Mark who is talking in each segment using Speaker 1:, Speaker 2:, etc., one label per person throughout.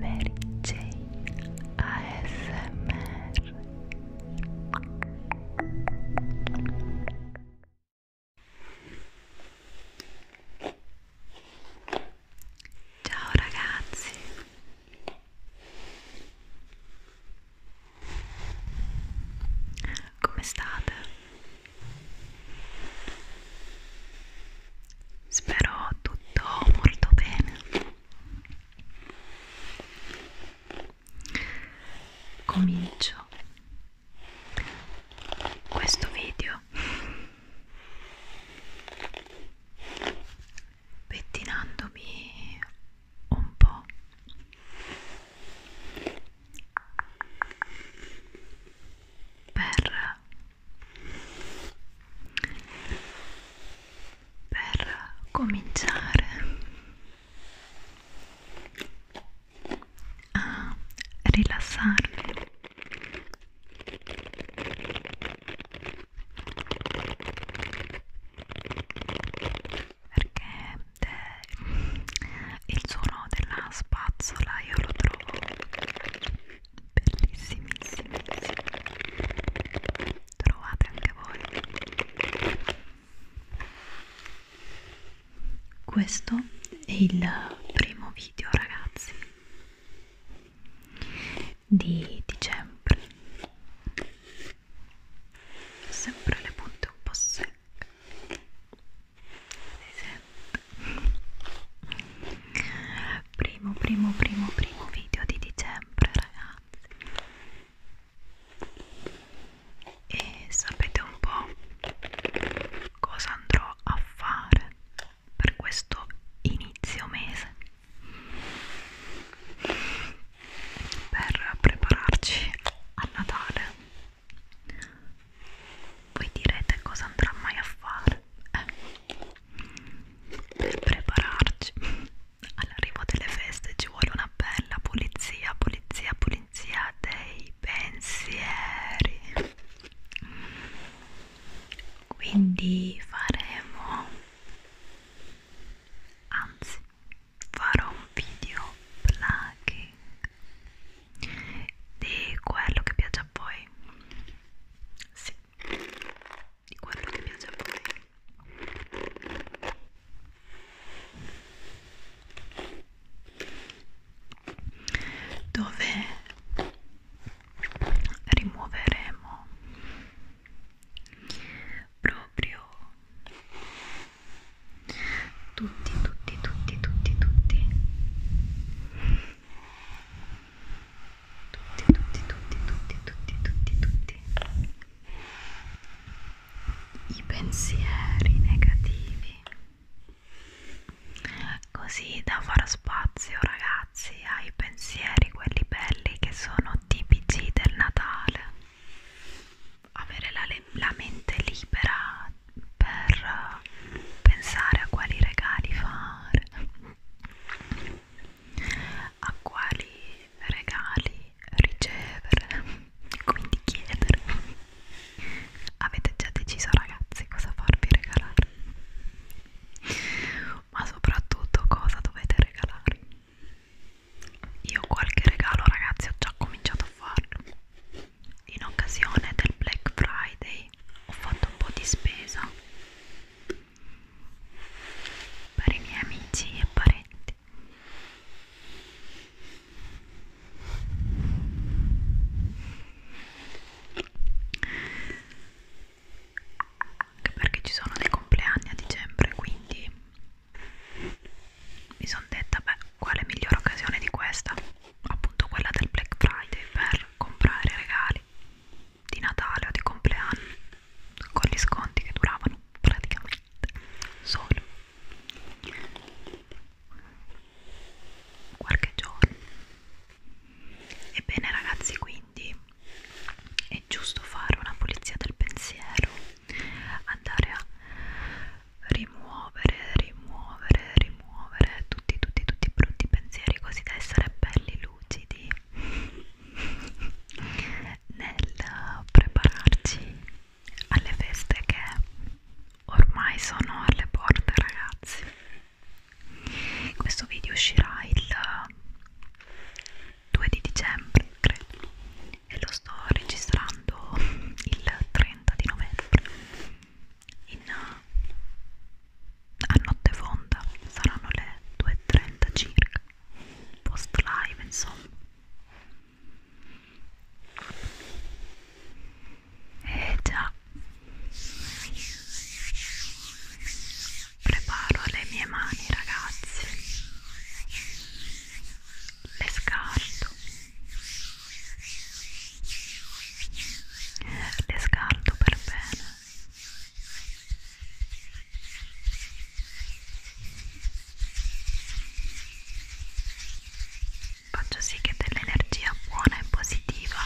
Speaker 1: Mary Jane ASMR Ciao ragazzi come state? spero tutto molto bene comincio questo video pettinandomi un po' per per cominciare a rilassarvi perché il suono della spazzola io lo trovo bellissimissimi trovate anche voi questo è il primo video ragazzi di dicembre sempre le punte un po' secche primo primo primo primo video di dicembre ragazzi e sapete un po' cosa andrò a fare per questo inizio mese per prepararci a Natale voi direte cosa andrà mai a fare eh, per prepararci all'arrivo delle feste ci vuole una bella pulizia, pulizia, pulizia dei pensieri. Quindi faremo, anzi farò un video plugging di quello che piace a voi sì di quello che piace a voi dove rimuoveremo proprio tutti tutti tutti tutti tutti tutti tutti tutti tutti tutti tutti tutti i pensieri negativi così da far spazio ragazzi ai pensieri quelli belli che sono tipici del Natale avere la, la mente libera per pensare a quali regali fare a quali regali ricevere quindi chiedere avete già deciso ragazzi cosa farvi regalare ma soprattutto cosa dovete regalare io qualche regalo ragazzi ho già cominciato a farlo in occasione del Black Friday ho fatto un po' di spesa per i miei amici e parenti anche perché ci sono dei compleanni a dicembre quindi mi sono detta beh quale migliore occasione di questa? Appunto quella del Black Friday per comprare regali di Natale o di compleanno con gli sconti che duravano praticamente solo qualche giorno. Ebbene ragazzi, quindi è giusto fare una pulizia del pensiero, andare a rimuovere, rimuovere, rimuovere tutti, tutti, tutti i brutti pensieri così da essere belli lucidi nel prepararci alle feste che ormai sono alle porte ragazzi questo video uscirà il 2 di dicembre credo e lo sto registrando il 30 di novembre in, eh, a notte fonda saranno le 2.30 circa post live insomma e eh, già preparo le mie mani ragazzi le scarto le scaldo per bene faccio sì che dell'energia buona e positiva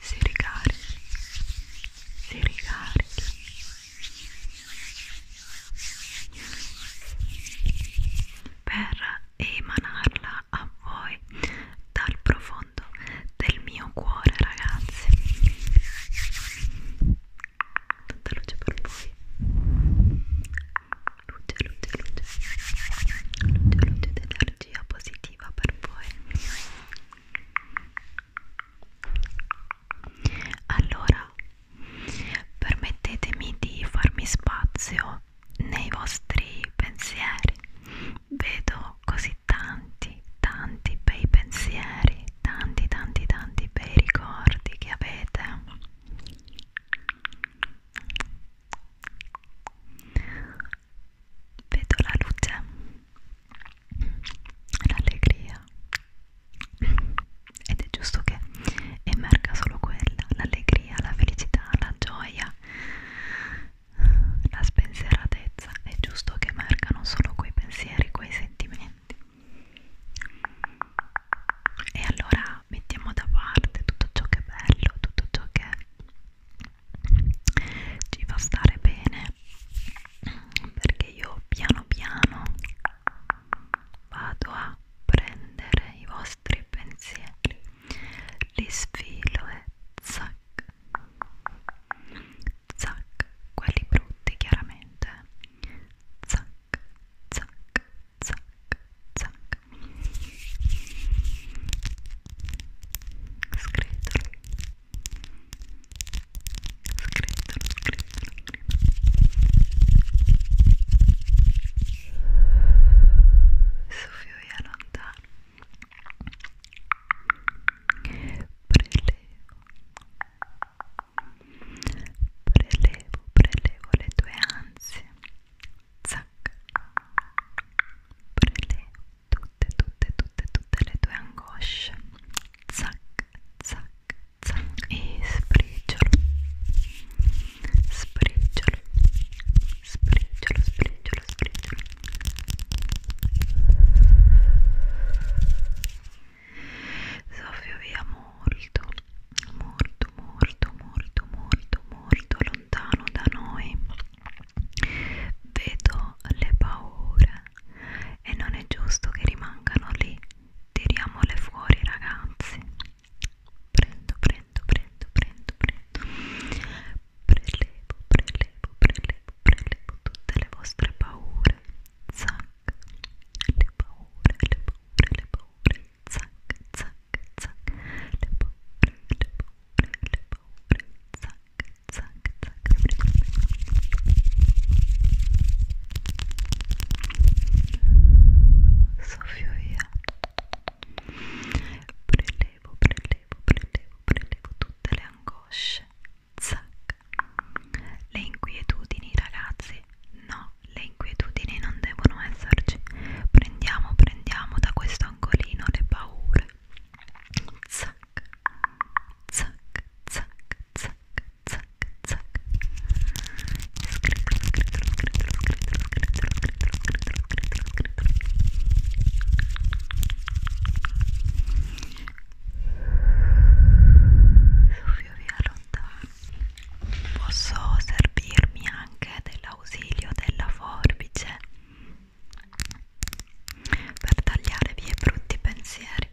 Speaker 1: si ricarichi si ricarichi per emanarla a voi dal profondo del mio cuore ragazzi tanta luce per voi luce luce luce luce luce ed energia positiva per voi allora Permettetemi di farmi spazio nei vostri pensieri. Vedo così tanti, tanti bei pensieri, tanti, tanti, tanti bei ricordi che avete. Vedo la luce, l'allegria, ed è giusto che emerga solo quella, l'allegria, la felicità, la gioia, la spensieratezza, è giusto che emergano solo quei pensieri, quei sentimenti. E allora mettiamo da parte tutto ciò che è bello, tutto ciò che ci fa stare bene, perché io piano piano vado a prendere i vostri pensieri, li sfilo e zac, zac, quelli brutti chiaramente, zac, zac, zac, zac. Scritto soffio via lontano prelevo prelevo prelevo le tue ansie zac prelevo tutte tutte tutte tutte le tue angosce zac zac pezza e sbriciolo sbriciolo sbriciolo sbriciolo sbriciolo soffio via molto molto molto molto molto molto lontano da noi vedo le paure e non è giusto che rimangano lì tiriamole fuori ragazzi prendo prendo prendo prendo prendo prelevo prelevo prelevo prelevo tutte le vostre paure zac le paure le paure le paure zac zac zac le paure le paure le paure zac zac zac soffio via prelevo, prelevo, prelevo, prelevo tutte le angosce zac le inquietudini ragazzi no, le inquietudini non devono esserci prendiamo, prendiamo da questo angolino le paure zac, zac zac, zac, zac, zac. Scrivetelo, scrivetelo, scrivetelo, scrivetelo, scrivetelo, scrivetelo, scrivetelo, scrivetelo, scrivetelo. Soffio via lontano. Posso servirmi anche dell'ausilio della forbice per tagliare via i brutti pensieri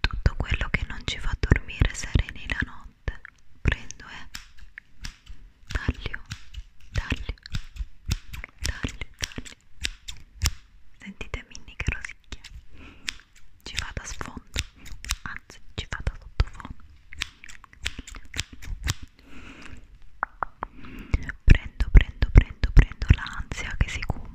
Speaker 1: Tutto quello che non ci fa dormire sereni la notte prendo e eh. taglio, taglio, taglio, taglio. Sentite Minnie che rosicchia. Ci va da sfondo, anzi ci va da sottofondo. Prendo, prendo, prendo, prendo l'ansia che si cura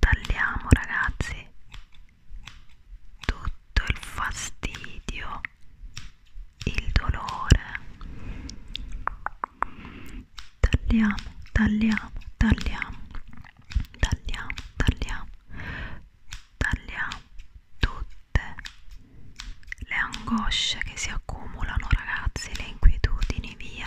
Speaker 1: tagliamo ragazzi tutto il fastidio il dolore tagliamo tagliamo tagliamo tagliamo tagliamo tagliamo tutte le angosce che si accumulano ragazzi le inquietudini via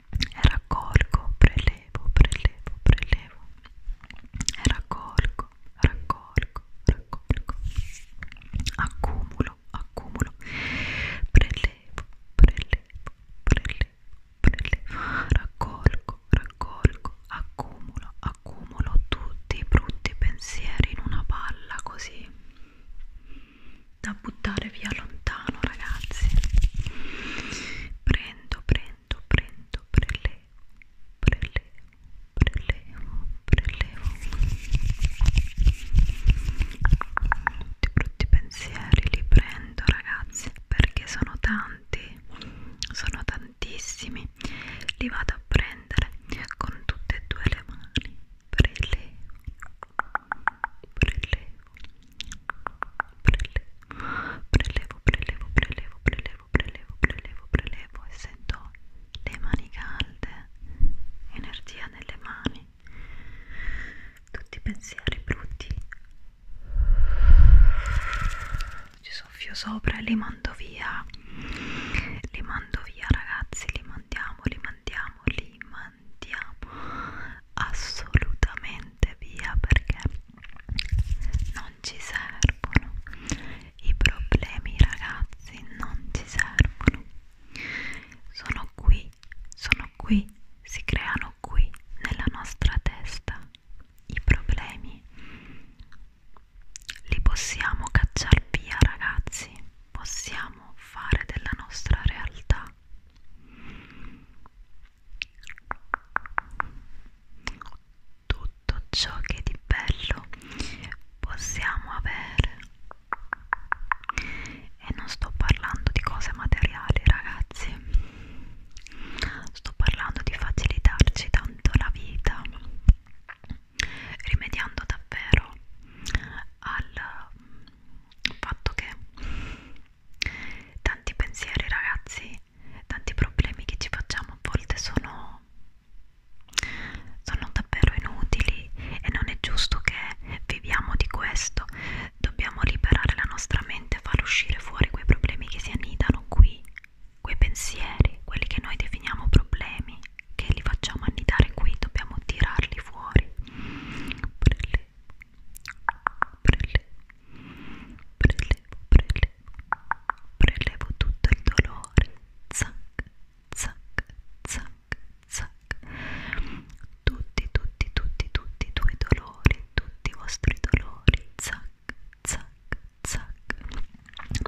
Speaker 1: e raccolgo, prelevo, prelevo, prelevo e raccolgo, raccolgo, raccolgo accumulo, accumulo prelevo, prelevo, prelevo, prelevo raccolgo, raccolgo, accumulo, accumulo tutti i brutti pensieri in una palla così da buttare via lontano ragazzi prendo prendo prendo prelevo prelevo prelevo prelevo tutti brutti pensieri li prendo ragazzi perché sono tanti sono tantissimi li vado a prendere con tutte e due le mani prelevo prelevo, prelevo, prelevo, prelevo, prelevo, prelevo, prelevo, prelevo, e sento le mani calde, energia nelle mani, tutti i pensieri brutti, ci soffio sopra e li mando via, li mando via ragazzi, li mandiamo, li mandiamo, li mandiamo andiamo assolutamente via perché non ci servono i problemi ragazzi non ci servono sono qui sono qui si creano qui nella nostra testa i problemi li possiamo cacciar via ragazzi possiamo fare della nostra realtà tutto ciò che di bello possiamo avere e non sto parlando di cose materiali ragazzi sto parlando di facilitarci tanto la vita rimediando davvero al il fatto che tanti pensieri ragazzi tanti problemi che ci facciamo a volte sono sono davvero inutili e non è giusto che viviamo di questo dobbiamo liberare la nostra mente far uscire fuori quei problemi che si annidano qui quei pensieri quelli che noi definiamo problemi che li facciamo annidare qui, dobbiamo tirarli fuori. Prelevo, prelevo, prelevo, prelevo, prelevo tutto il dolore. Zac, zac, zac, zac. Tutti, tutti, tutti, tutti i tuoi dolori, tutti i vostri dolori. Zac, zac, zac.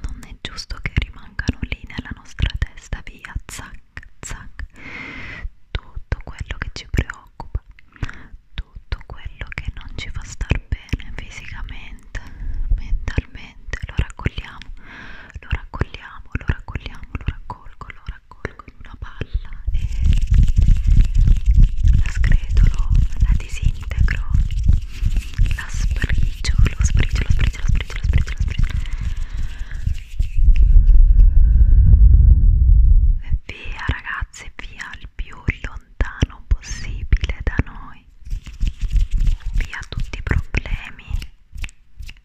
Speaker 1: Non è giusto che rimanga rimangono lì nella nostra testa via zac zac tutto quello che ci preoccupa tutto quello che non ci fa star bene fisicamente mentalmente lo raccogliamo lo raccogliamo lo raccogliamo lo raccolgo lo raccolgo in una palla e la scretolo la disintegro la sprigio, lo sprigio, lo sprigio, lo sprigio, lo sprigio, lo sprigio e via ragazzi via il più lontano possibile da noi via tutti i problemi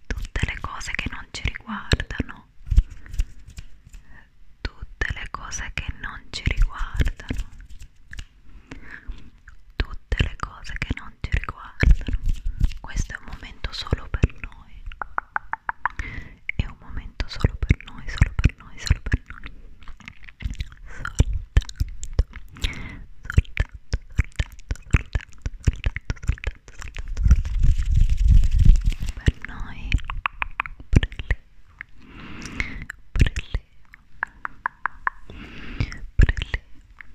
Speaker 1: tutte le cose che non ci riguardano tutte le cose che non ci riguardano tutte le cose che non non ti riguardano questo è un momento solo per noi è un momento solo per noi solo per noi solo per noi soltanto soltanto soltanto soltanto soltanto soltanto soltanto per noi prelevo prelevo prelevo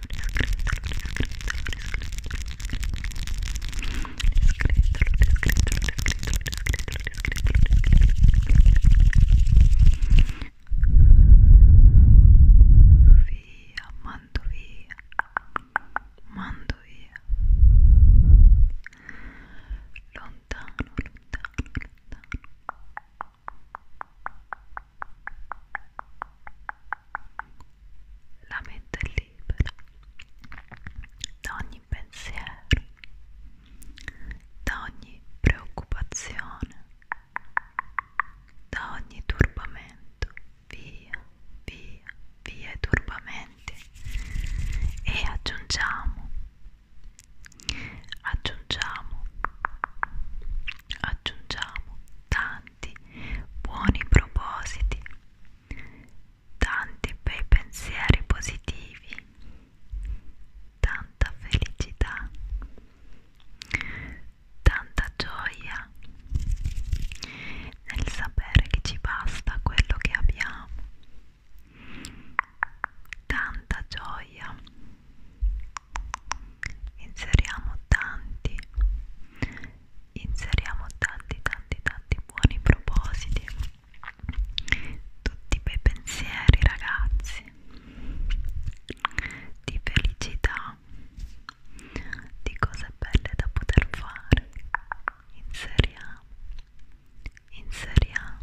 Speaker 1: via, mando via, mando via, lontano, lontano, lontano la mente è libera da ogni pensiero, da ogni preoccupazione, da ogni turbamento, via, via, via i turbamenti e aggiungiamo, aggiungiamo, aggiungiamo tanti tanti buoni propositi, tanti bei pensieri positivi, tanta felicità, tanta gioia nel sapere che ci basta quello che abbiamo, tanta gioia inseriamo tanti inseriamo tanti tanti tanti buoni propositi tutti bei pensieri ragazzi di felicità di cose belle da poter fare inseriamo inseriamo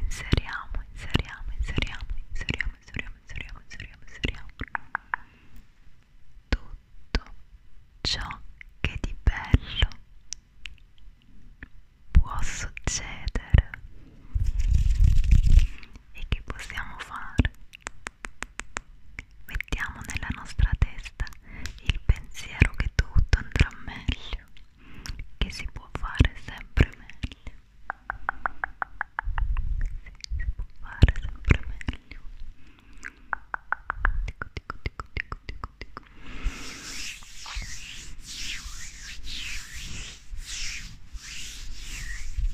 Speaker 1: inseriamo inseriamo inseriamo inseriamo inseriamo inseriamo inseriamo inseriamo tutto ciò che di bello può succedere e che possiamo fare. Mettiamo nella nostra testa il pensiero che tutto andrà meglio, che si può fare sempre meglio fare sempre meglio dico dico dico dico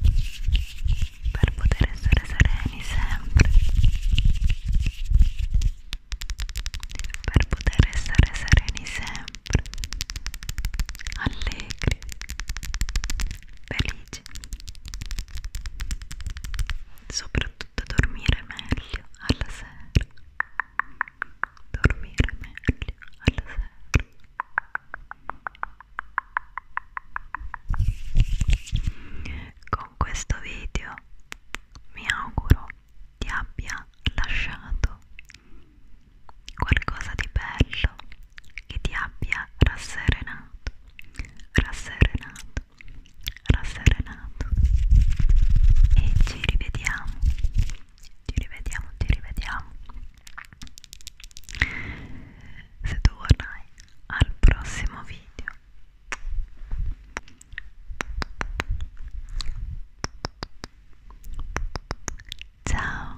Speaker 1: dico dico per poter essere sereni sempre per poter essere sereni sempre allegri felici amici soprattutto dormire meglio alla sera dormire meglio alla sera con questo video mi auguro ti abbia lasciato qualcosa di bello che ti abbia rasserenato, rasserenato, rasserenato. E ci rivediamo, ci rivediamo, ci rivediamo. Se tu vorrai, al prossimo video. Ciao.